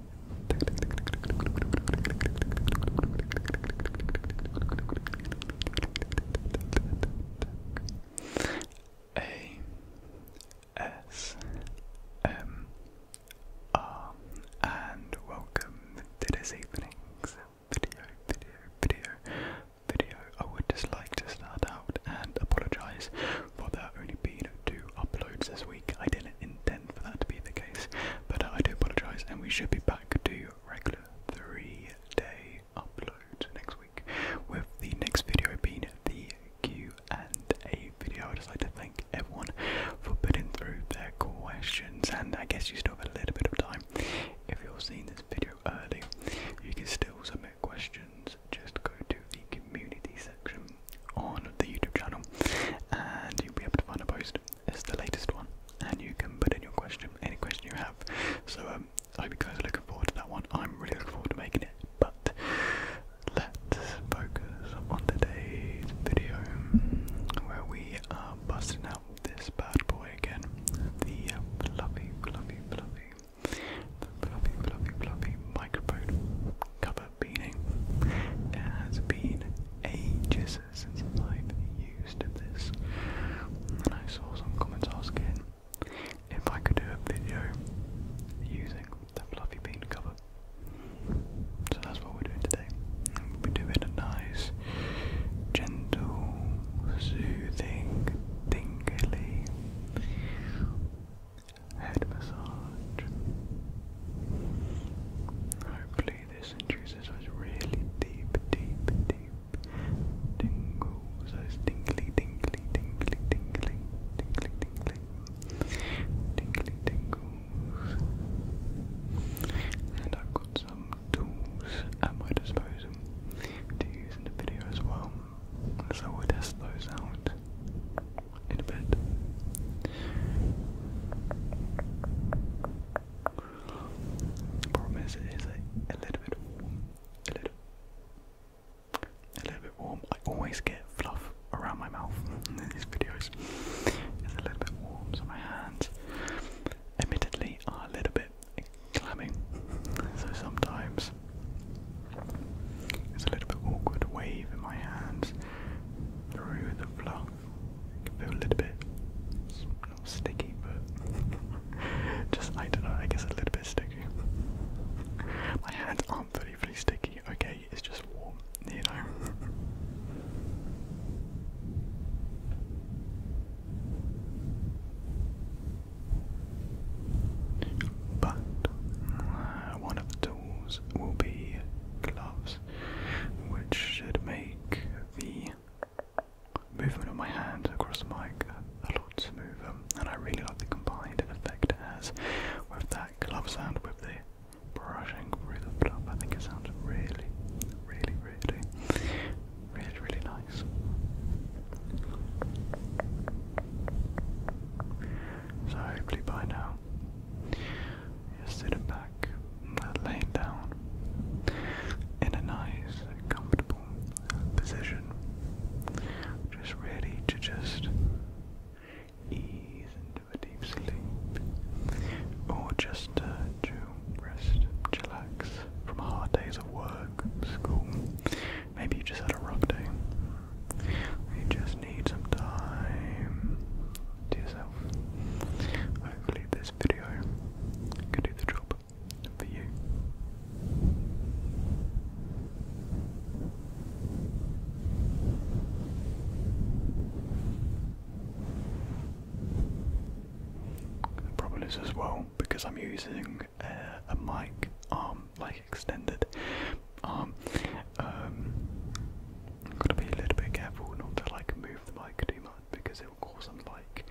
a S M R and welcome to this evening's video, video, video, video. I would just like to start out and apologise for there only being two uploads this week. I didn't intent for that to be the case. But I do apologise, and we should be back to regular three-day upload next week, with the next video being the Q and A video. I'd just like to thank everyone for putting through their questions, and I guess you still have a little bit of time. If you're seeing this video early, you can still submit questions. Just go to the community section on the YouTube channel, and you'll be able to find a post. It's the latest one, and you can put in your question, any question you have. So um, I hope you guys are looking forward to that one. I'm really looking forward to making it. But let's focus on today's video, where we are busting out this bad boy again. The uh, fluffy, fluffy, fluffy, the fluffy, fluffy, fluffy microphone Copper beading. It has been ages since I've used this. And I saw some comments asking if I could do a video using the fluffy bean cover. So that's what we're doing today. We're doing a nice, gentle, soothing, tingly head massage. Hopefully, this induces those really deep, deep, deep tingles, those tingly, tingly, tingly, tingly, tingly, tingly, tingly tingles. And I've got some tools at my disposal to use in the video as well, so we'll test those out in a bit. The problem is, it is a, little bit A little, a little bit warm. I always get fluff around my mouth in these videos. It's a little bit warm, so my hands, admittedly, are a little bit clammy. So sometimes it's a little bit awkward wave in my hands through the flour. can feel a little bit not sticky, but just I don't know. I guess a little bit sticky. My hands aren't fully, fully sticky. Okay, it's just warm, you know. But uh, one of the tools will be gloves times, which should make the movement of my hand across the mic a lot smoother. And I really like the combined effect it has with that glove sound with the brushing through the fluff. I think it sounds really, really, really, really, really nice. So hopefully by now you sit back, laying down in a nice, comfortable position, just ready to just ease into a deep sleep, or just uh, to rest, chillax from hard days of work, school. Maybe you just had a rough day. You just need some time to yourself. Hopefully, this video can do the job for you. The problem is as well because I'm using uh, a mic arm, um, like extended arm, um, um, I've got to be a little bit careful not to like move the mic too much because it will cause some like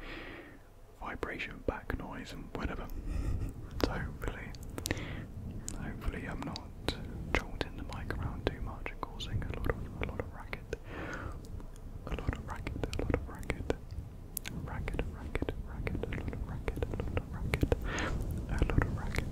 vibration back noise and whatever. So hopefully, hopefully I'm not jolting the mic around too much and causing a lot of a lot of racket, a lot of racket, a lot of racket, racket, racket, racket, a lot of racket, a lot of racket, a lot of racket.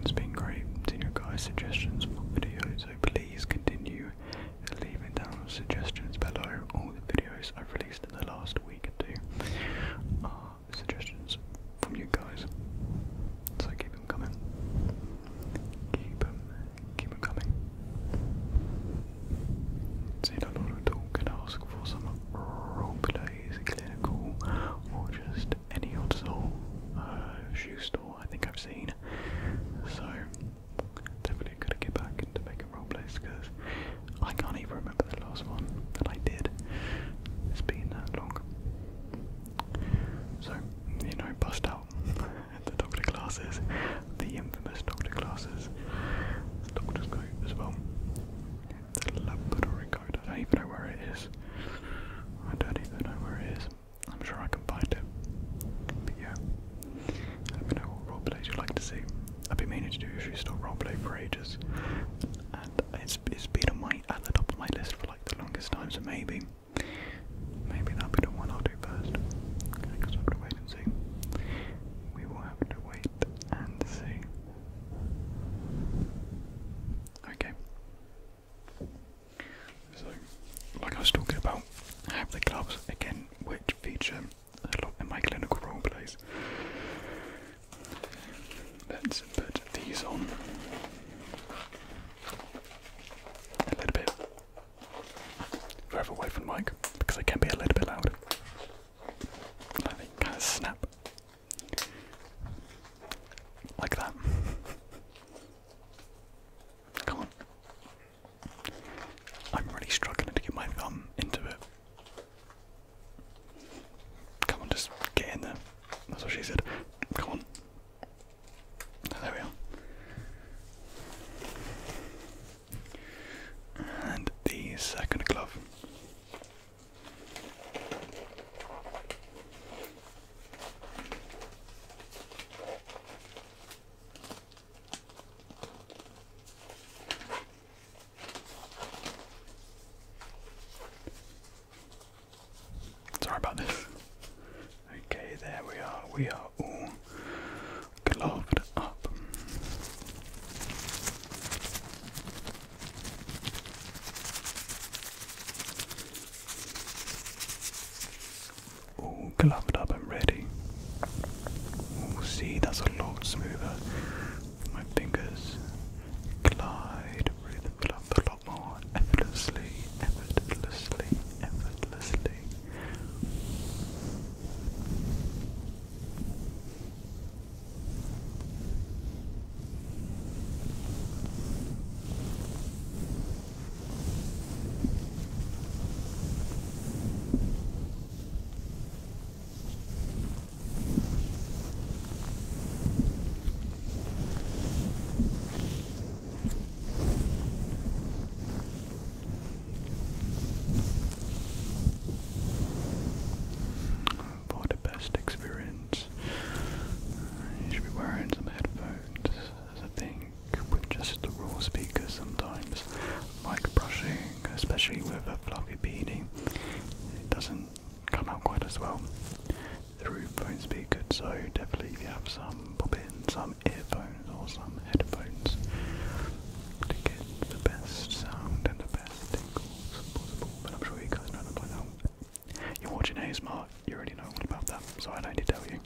It's been great seeing your guys' suggestions for videos, so please continue leaving down suggestions below all the videos I've released in the last week or two suggestions from you guys. So keep them coming. Keep them, keep them coming. See a lot of talk and ask for some role plays, clinical, or just any odd uh, shoe store I think I've seen. So definitely gotta get back into making role plays because I can't even remember the last one that I did. It's been that long. So, you know, bust out the doctor classes, the infamous doctor classes, doctor's coat as well. The laboratory coat, I don't even know where it is. I don't even know where it is. I'm sure I can find it. But yeah, let me know what roleplays you'd like to see. I've been meaning to do a few still roleplay for ages, and it's, it's been on my at the top of my list for like the longest time, so maybe maybe that'll be the one I'll do first. we'll have to wait and see. We will have to wait and see. Okay. So, like I was talking about, have the gloves again, which feature a lot in my clinical role plays. Let's put these on a little bit further away from the mic because they can be a little bit loud. kind of snap like that. Come on. I'm really struggling to get my thumb into it. Come on, just get in there. That's what she said. Come on. there we are. And the second glove. Sorry about this. Okay, there we are. We are all gloved up. All gloved up and ready. see, that's a lot smoother. My fingers glide through the flap a lot more effortlessly, effortlessly, effortlessly. For the best experience, you should be wearing some headphones, I think with just the raw speakers sometimes. Mic brushing, especially with a fluffy beanie, it doesn't come out quite as well through phone speaker, So definitely, if you have some, pop in some earphones or some headphones to get the best sound and the best tingles possible. But I'm sure you guys know by now. You're watching ASMR, you already know all about that, so I don't need to tell you.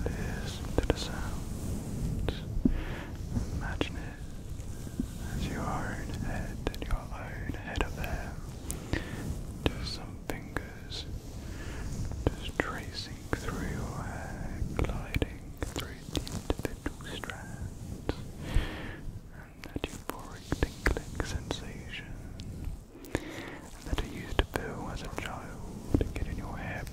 Just listen to the sound. Imagine it as your own head and your own head of hair. Just some fingers just tracing through your hair, gliding through separate the individual strands, and that euphoric tingling sensation, that I used to feel as a child getting your hair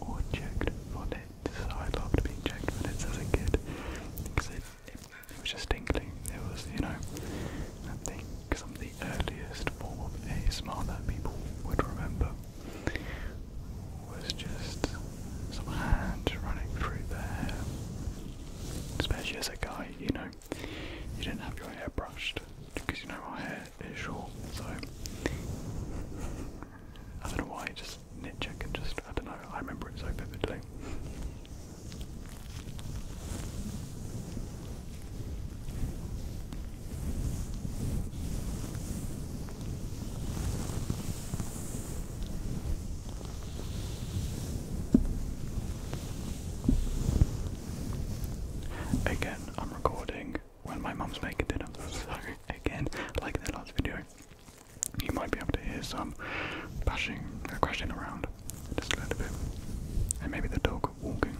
or checked for nits. I loved being checked for nits as a kid because it, it, was just tingling. It was, you know, I some of the earliest form of ASMR people would remember was just some hand running through the hair. Especially as a guy, you know, you didn't have your hair brushed because you know my hair is short, so I don't know why, just nitch I can just, I don't know, I remember it so vividly. Again, I'm recording when my mum's making dinner, so again, like in last video, you might be able to hear some bashing, uh, crashing around just a little bit, and maybe the dog walking.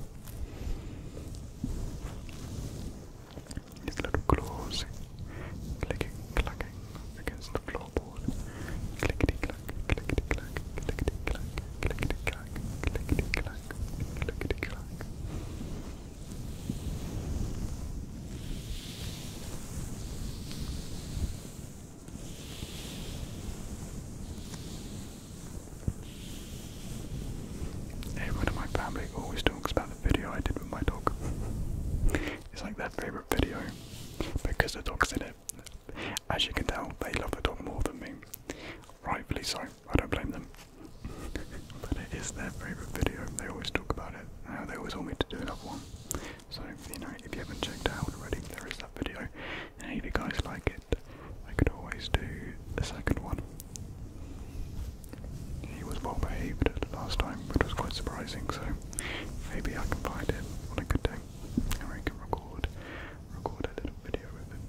His little claws clicking, clacking against the floorboard. Clickety clack, clickety clack, clickety clack, clickety clack, clickety clack, clickety clack. Clickety -clack. Everyone in my family always talks about the video I did with my dog. It's like their favourite video because the dog's in it. As you can tell, they love the dog more than me. Rightfully so, I don't blame them. but it is their favourite video, they always talk about it. Uh, they always want me to do another one. So, you know, if you haven't checked out already, there is that video. And if you guys like it, I could always do the second one. He was well behaved last time, which was quite surprising, so maybe I can find him on a good day and we can record record a little video with him.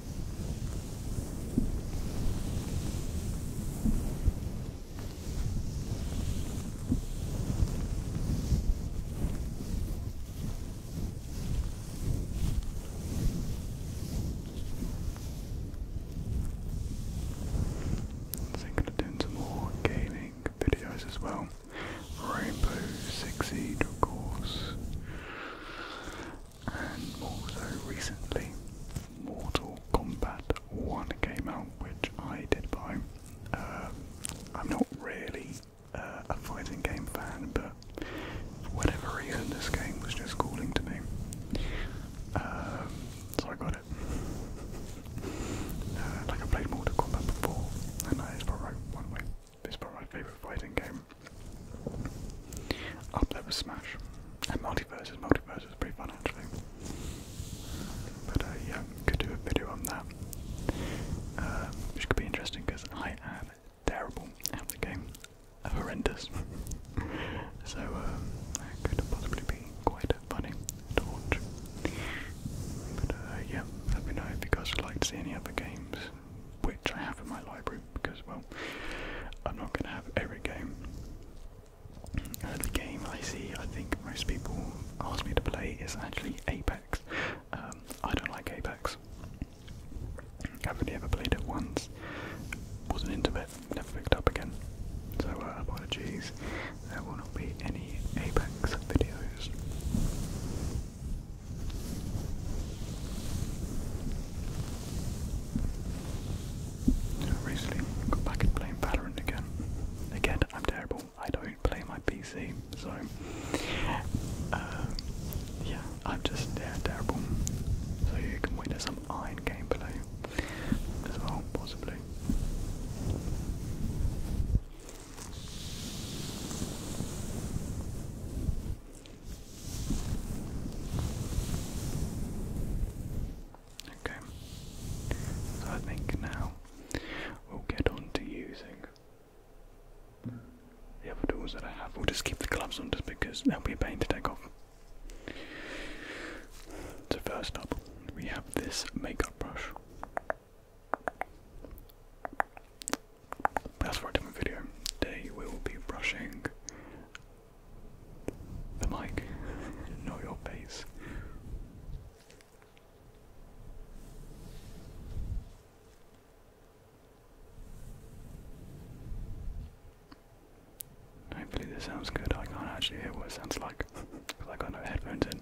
I'm going to do some more gaming videos as well. Rainbow Six Siege, of course and also recently Mortal Kombat 1 came out, which I did buy. Uh, I'm not really uh, a fighting game fan, but for whatever reason, this game was just calling to me. Um, so I got it. Uh, like I played Mortal Kombat before, and it's probably one way. probably my favourite fighting game. Up there was Smash. And Multiverses. Multiverses is pretty fun actually. But uh, yeah, could do a video on that. Um, which could be interesting because I am terrible at the game. Horrendous. so um, could possibly be quite funny to watch. But uh, yeah, let me know if you guys would like to see any other games which I have in my library because, well, I'm not going to have every game. Uh, the game I see, I think most people ask me to play is actually Apex. Um, I don't like Apex. I've only ever played it once. Wasn't into it. Never picked up again. So uh, apologies. There will not be any Apex videos. Recently, got back into playing Valorant again. Again, I'm terrible. I don't play my PC, so uh, yeah, I'm just yeah, terrible. So you can witness some iron gameplay as well, possibly. Okay, so I think now we'll get on to using the other tools that I have. We'll just keep the gloves on just because they'll be a pain to take off. So, first up, we have this makeup brush. But that's for a video. Today we will be brushing the mic, know your pace. Hopefully this sounds good. I can't actually hear what it sounds like I got no headphones in.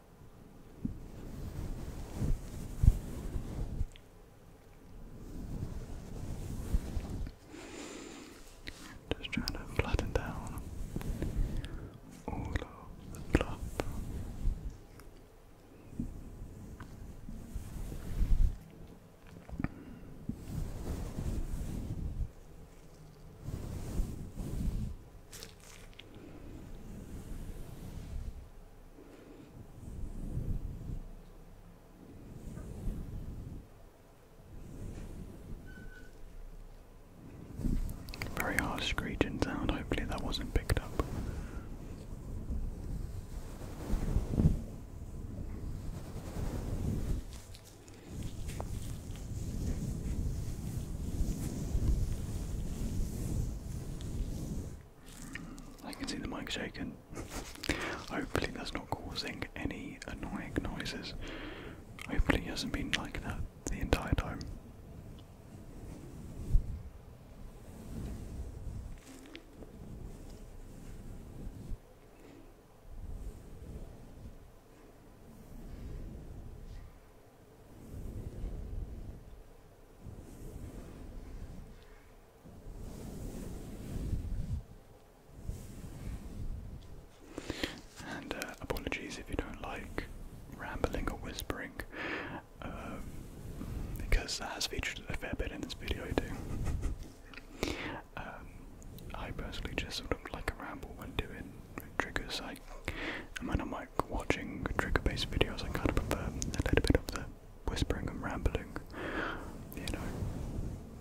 Just trying to flatten down all of the fluff. Very harsh screeching sound, hopefully that wasn't picked up. I can see the mic shaking. Hopefully that's not causing any annoying noises. Hopefully it hasn't been like that the entire time. And uh, apologies if you don't like rambling or whispering, um, because that has featured a fair bit in this video too. um, I personally just sort of like a ramble when doing triggers. I, and not like watching trigger-based videos, I kind of prefer a little bit of the whispering and rambling, you know,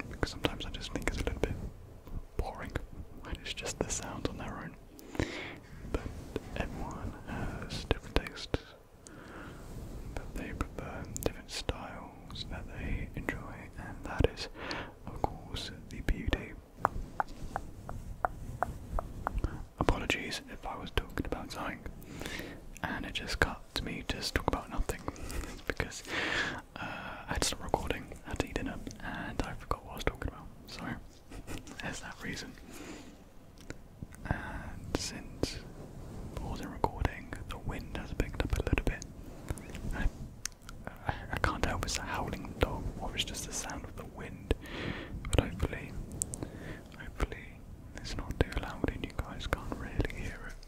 because sometimes I just think it's a little bit boring when it's just the sounds on their own. But everyone has different tastes that they prefer, different styles that they enjoy, and that is, of course, the beauty. Apologies if I was talking about something and it just cut to me just talk about nothing because uh, I had to stop recording, I had to eat dinner, and I forgot what I was talking about. Sorry, there's that reason. And since I was recording, the wind has picked up a little bit. I, I can't tell if it's a howling dog or it's just the sound of the wind, but hopefully, hopefully it's not too loud and you guys can't really hear it.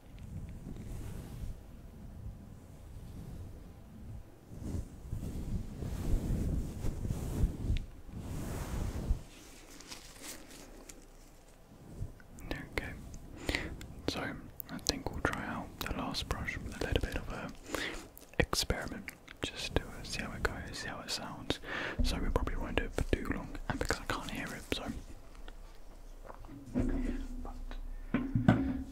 Okay, so I think we'll try out the last brush with a little bit of a experiment just do to see how it goes, see how it sounds. So we probably won't do it for too long, and because I can't hear it, so um,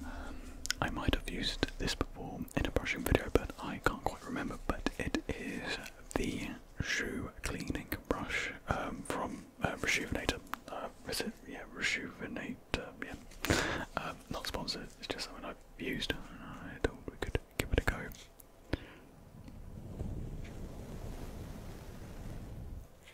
I might have used this before in a brushing video, but I can't quite remember. But it is the shoe cleaning brush um, from uh, Rejuvenator. Uh, is it? Yeah, Rejuvenator. Yeah, um, not sponsored. It's just something I've used. I thought we could give it a go.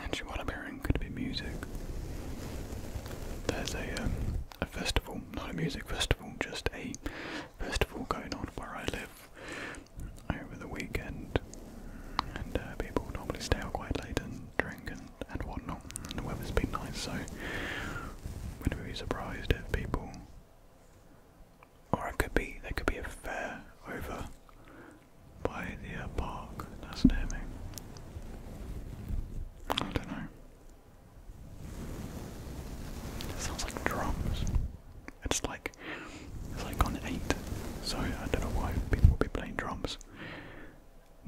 Actually, what I'm hearing could be music. There's a um, a festival, not a music festival, just a festival going on where I live over the weekend, and uh, people normally stay out quite late and drink and and whatnot. And the weather's been nice, so wouldn't be surprised if people, or it could be there could be a fair over by the uh, park that's near me. I don't know. It sounds like drums. It's like it's like on eight, so I don't know why people will be playing drums.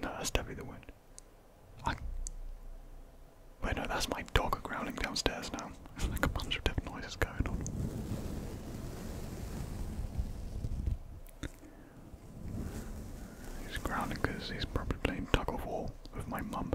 No, that's definitely the wind. Wait, no, that's my dog growling downstairs now. There's like a bunch of different noises going on. He's growling because he's probably playing tug of war with my mum.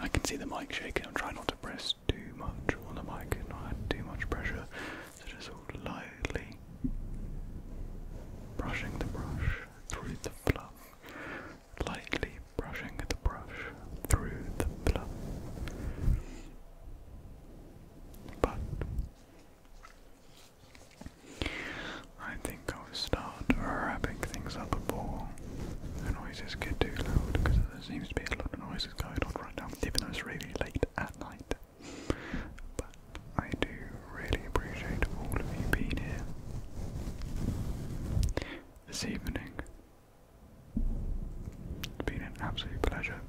I can see the mic shaking. I'm trying not to press too much on the mic and too much pressure. So just sort lightly brushing the brush through the fluff. Lightly brushing the brush through the fluff. But I think I'll start wrapping things up before the noises get too loud because there seems to be a lot of noise going on right now, even though it's really late at night. But I do really appreciate all of you being here this evening. It's been an absolute pleasure.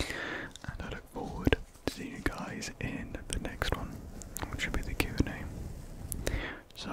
And I look forward to seeing you guys in the next one, which will be the Q&A. So,